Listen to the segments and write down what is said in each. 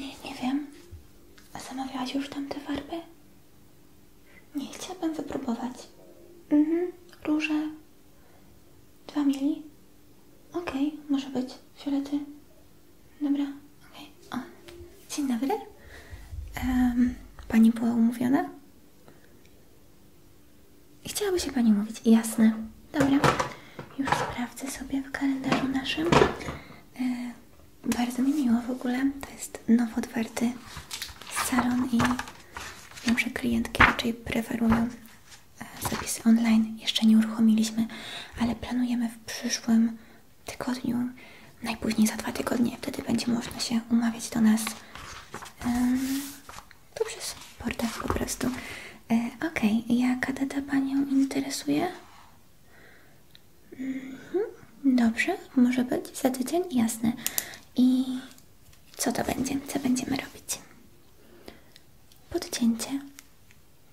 Nie, nie wiem. A zamawiałaś już tamte farby? Nie, chciałabym wypróbować. Mhm, róże. Dwa mili. Okej, może być. Fiolety. Dobra, okej. Okay. O, dzień dobry. pani była umówiona? Chciałaby się pani mówić, jasne. Dobra, już sprawdzę sobie w kalendarzu naszym. E, bardzo mi miło w ogóle. To jest nowo otwarty salon i wiem, że klientki raczej preferują e, zapisy online. Jeszcze nie uruchomiliśmy, ale planujemy w przyszłym tygodniu, najpóźniej za dwa tygodnie, wtedy będzie można się umawiać do nas yy, poprzez portal po prostu. E, Okej, jaka data Panią interesuje? Mhm, dobrze, może być za tydzień, jasne. I co to będzie? Co będziemy robić? Podcięcie.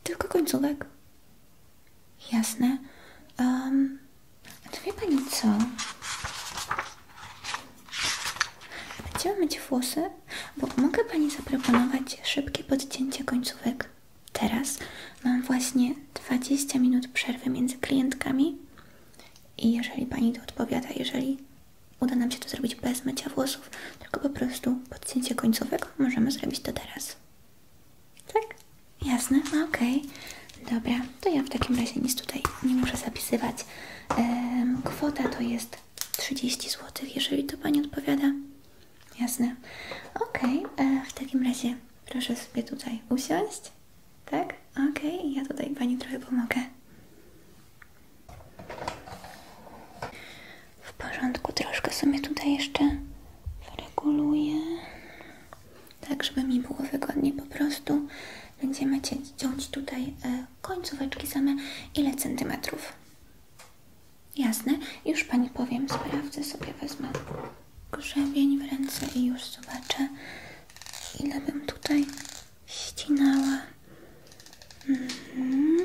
Tylko końcówek. Jasne. a to wie Pani co? Będziemy mieć włosy bo mogę Pani zaproponować szybkie podcięcie końcówek. Teraz mam właśnie 20 minut przerwy między klientkami i jeżeli Pani to odpowiada, jeżeli uda nam się to zrobić bez mycia włosów, tylko po prostu podcięcie końcówek, możemy zrobić to teraz. Tak? Jasne? No, OK. Dobra, to ja w takim razie nic tutaj nie muszę zapisywać. kwota to jest 30 zł, jeżeli to Pani odpowiada. Jasne. Ok, e, w takim razie proszę sobie tutaj usiąść. Tak? Ok, ja tutaj Pani trochę pomogę. W porządku, troszkę sobie tutaj jeszcze wyreguluję. Tak, żeby mi było wygodnie. po prostu. Będziemy ciąć tutaj e, końcóweczki same. Ile centymetrów? Jasne, już Pani powiem, sprawdzę sobie, wezmę grzebień w ręce i już zobaczę, ile bym tutaj ścinała. Mhm.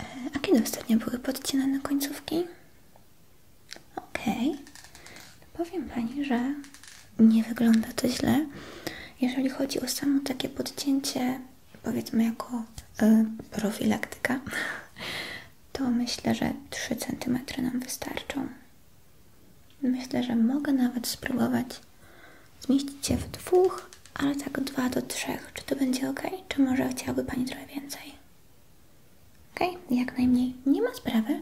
E, a kiedy ostatnio były podcinane końcówki? Ok. Powiem Pani, że nie wygląda to źle. Jeżeli chodzi o samo takie podcięcie, powiedzmy jako e, profilaktyka, to myślę, że 3 cm nam wystarczą. Myślę, że mogę nawet spróbować zmieścić je w dwóch, ale tak 2 do 3. Czy to będzie ok? Czy może chciałaby Pani trochę więcej? Ok, jak najmniej. Nie ma sprawy.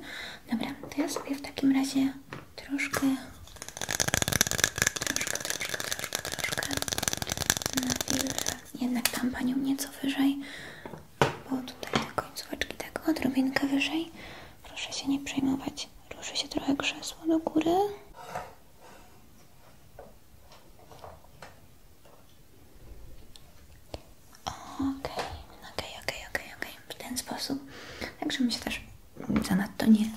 Dobra, to ja sobie w takim razie troszkę, troszkę, troszkę, troszkę, troszkę na wilże. Jednak tam Panią nieco wyżej, bo tutaj te końcóweczki tak odrobinkę wyżej. Proszę się nie przejmować. Ruszy się trochę krzesło do góry. Okej, okej, okej, okej, w ten sposób. Także mi się też Zanadto nie.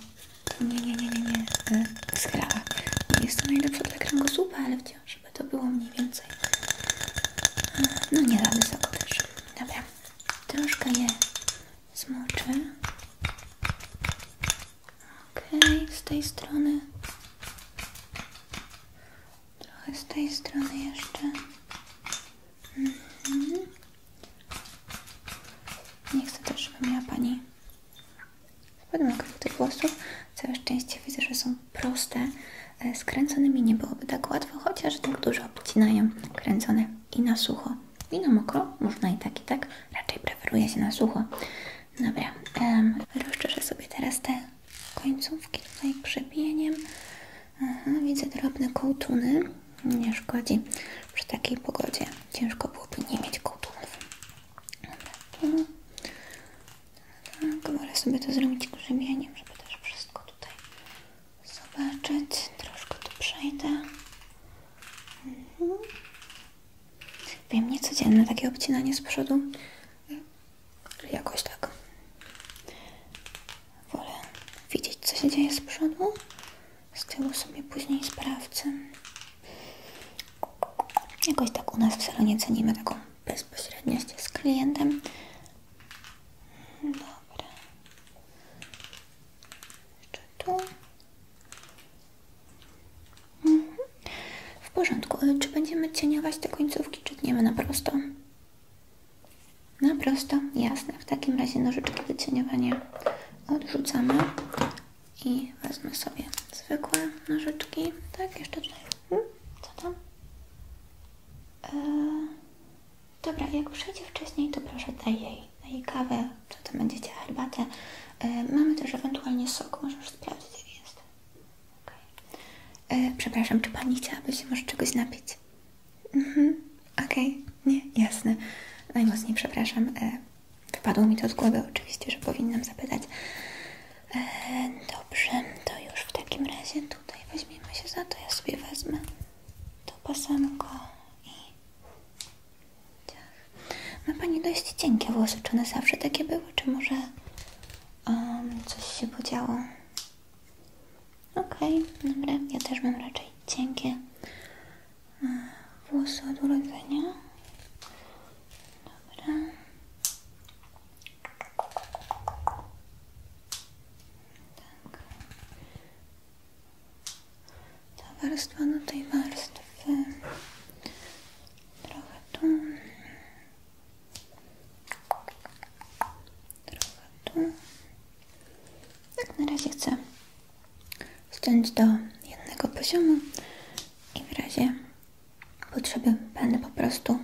Nie, nie, nie, nie, nie. E, skrawa. jest to najlepsze dla kręgosłupa, ale wciąż, żeby to było mniej więcej. E, no nie za wysoko też. Dobra. Troszkę je zmoczę. Okej, z tej strony. Trochę z tej strony jeszcze. Mhm. Nie chcę też, żeby miała Pani ładny okrąg tych włosów. Całe szczęście widzę, że są proste. E, skręconymi nie byłoby tak łatwo, chociaż tak dużo obcinają kręcone i na sucho, i na mokro. Można i tak, i tak. Raczej preferuje się na sucho. Dobra, um, sobie teraz te końcówki tutaj przebieniem widzę drobne kołtuny. Nie szkodzi. Przy takiej pogodzie ciężko byłoby nie mieć kołtunów. Tak, sobie to zrobić grzebieniem, żeby też wszystko tutaj zobaczyć. Troszkę tu przejdę. Mhm. Wiem, niecodzienne takie obcinanie z przodu, jakoś tak Wolę widzieć, co się dzieje z przodu. Z tyłu sobie później sprawcę. Jakoś tak u nas w salonie cenimy taką bezpośredniość z klientem. Hmm, dobra. Jeszcze tu. Mhm. W porządku. E, czy będziemy cieniować te końcówki, czy tniemy na prosto? Na prosto, jasne. W takim razie nożyczki do cieniowania odrzucamy i wezmę sobie zwykłe nożyczki. Tak, jeszcze tutaj. Hmm, co tam? E, dobra, jak przyjdzie wcześniej, to proszę daj jej, daj jej kawę, co tam będziecie, herbatę. E, mamy też ewentualnie sok, możesz sprawdzić, jak jest. E, przepraszam, czy Pani chciałaby się może czegoś napić? Mhm, okej, nie, jasne. Najmocniej przepraszam. E, wypadło mi to z głowy, oczywiście, że powinnam zapytać. E, dobrze, to już w takim razie tutaj weźmiemy się za to. Ja sobie wezmę to pasemko i... Ciach. Ma Pani dość cienkie włosy. Czy one zawsze takie były, czy może coś się podziało? Okej, okay, ja też mam raczej cienkie e, włosy od urodzenia. Dobra. Tak. Ta warstwa do tej warstwy. Trochę tu. Trochę tu. Tak na razie chcę ściąć do jednego poziomu i w razie potrzeby będę po prostu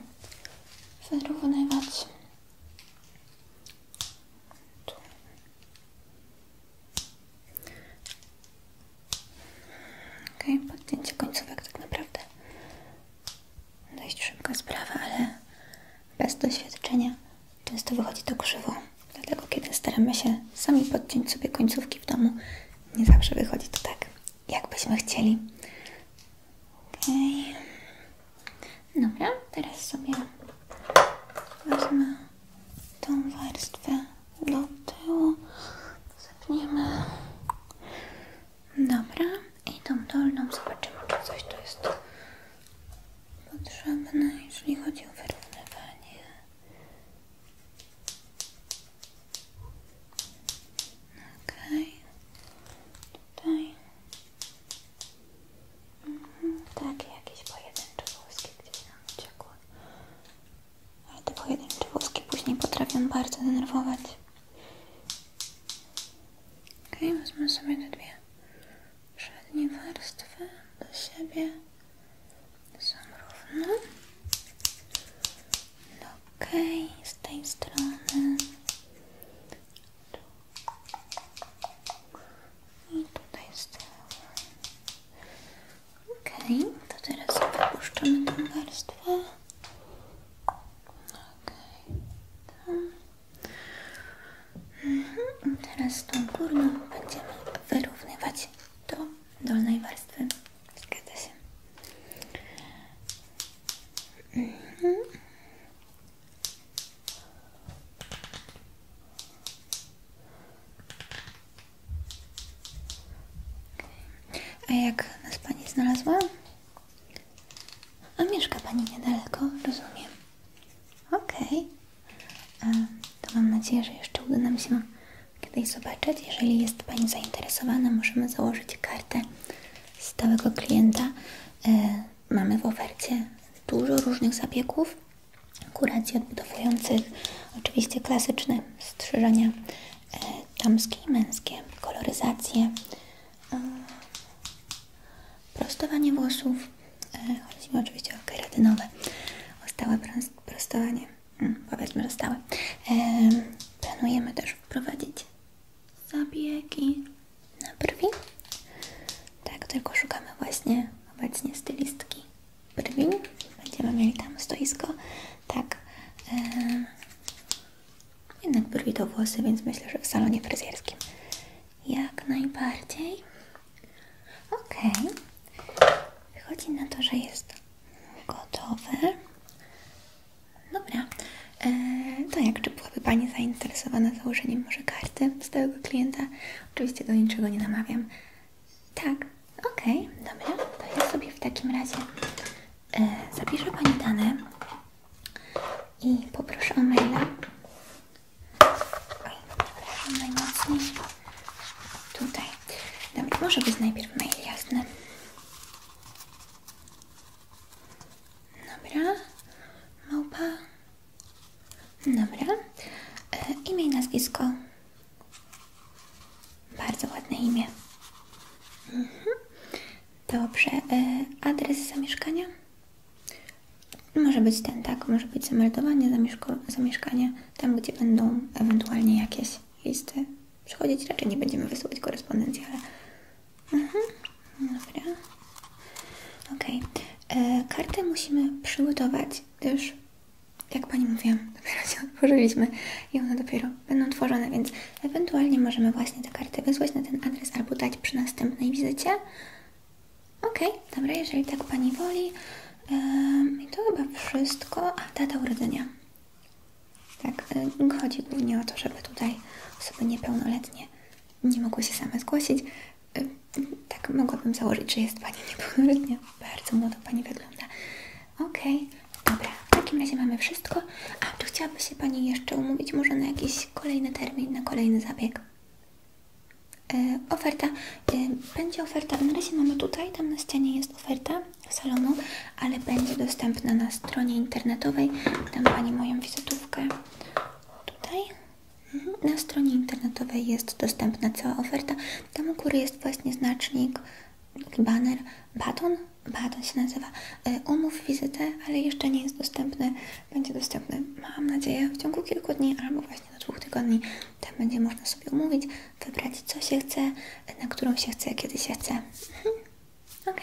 wyrównywać. Tu. Ok, podcięcie końcówek tak naprawdę dość szybka sprawa, ale bez doświadczenia często wychodzi to krzywo. Dlatego kiedy staramy się sami podciąć sobie końcówki w domu, nie zawsze wychodzi to tak, jakbyśmy chcieli. Okej. Okay. Dobra, teraz sobie wezmę tą warstwę do tyłu. Zapniemy Dobra, i tą dolną zobaczymy, czy coś tu jest potrzebne, jeżeli chodzi o wyrównywanie. Okej, tutaj. Mhm. Takie jakieś pojedyncze włoski gdzieś nam uciekły. Ale te pojedyncze włoski później potrafią bardzo denerwować. Ok, wezmę sobie te dwie przednie warstwy do siebie. Są równe. Ok, z tej strony. I tutaj z tyłu. Ok, to teraz wypuszczamy tą warstwę. Okej, okay, tak. mhm. Teraz tą górną będziemy wyrównywać do dolnej warstwy. Zgadza się. Mhm. A jak nas Pani znalazła? A mieszka Pani niedaleko, rozumiem. Okej. To mam nadzieję, że jeszcze uda nam się kiedyś zobaczyć. Jeżeli jest Pani zainteresowana, możemy założyć kartę stałego klienta. E, mamy w ofercie dużo różnych zabiegów, kuracji odbudowujących, oczywiście klasyczne strzyżenia damskie e, i męskie, koloryzacje, e, prostowanie włosów, e, chodzi oczywiście o keratynowe, o stałe prostowanie, hmm, powiedzmy, że stałe. Planujemy też wprowadzić zabiegi na brwi, tak, tylko szukamy właśnie obecnie stylistki brwi, będziemy mieli tam stoisko, tak, jednak brwi to włosy, więc myślę, że w salonie fryzjerskim. Jak najbardziej. Okej. Wychodzi na to, że jest gotowy. Dobra. E, to jakby byłaby Pani zainteresowana założeniem może karty stałego klienta? Oczywiście do niczego nie namawiam. Tak, okej, dobra. To ja sobie w takim razie E, zapiszę Pani dane i poproszę o maila. Oj, proszę najmocniej. Tutaj. Dobra, może być najpierw mail jasny. Dobra. Małpa. Dobra. E, imię i nazwisko. Bardzo ładne imię. Mhm. Dobrze. E, adres zamieszkania? Może być ten, tak? Może być zameldowanie zamieszkania, tam gdzie będą ewentualnie jakieś listy przychodzić. Raczej nie będziemy wysyłać korespondencji, ale... Mhm. Dobra. Ok. E, Karty musimy przygotować, też jak Pani mówiłam, dopiero się otworzyliśmy i one dopiero będą tworzone, więc ewentualnie możemy właśnie te karty wysłać na ten adres albo dać przy następnej wizycie. Okej, okay, dobra, jeżeli tak Pani woli, yy, to chyba wszystko. A, data urodzenia. Tak, chodzi głównie o to, żeby tutaj osoby niepełnoletnie nie mogły się same zgłosić. tak, mogłabym założyć, że jest Pani niepełnoletnia bardzo młoda Pani wygląda. OK, dobra, w takim razie mamy wszystko. A, czy chciałaby się Pani jeszcze umówić może na jakiś kolejny termin, na kolejny zabieg? E, oferta, e, będzie oferta, na razie mamy tutaj, tam na ścianie jest oferta salonu, ale będzie dostępna na stronie internetowej. Dam Pani moją wizytówkę tutaj. Mhm, na stronie internetowej jest dostępna cała oferta. Tam u góry jest właśnie znacznik banner baton, baton się nazywa. Umów e, wizytę, ale jeszcze nie jest dostępny. Będzie dostępny, mam nadzieję, w ciągu kilku dni albo właśnie do dwóch tygodni. Tam będzie można sobie umówić, wybrać co się chce, na którą się chce, kiedy się chce. Mhm. Ok,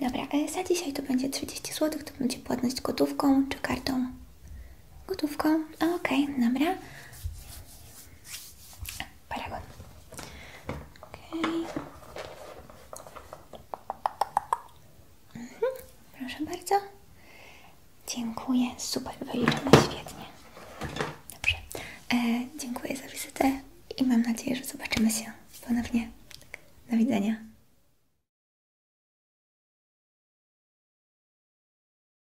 dobra, e, za dzisiaj to będzie 30 zł, to będzie płatność gotówką czy kartą? Gotówką, okej, dobra paragon. Mhm. proszę bardzo. Dziękuję. Super, wyliczone świetnie. Dobrze. E, dziękuję za wizytę i mam nadzieję, że zobaczymy się ponownie. Do widzenia.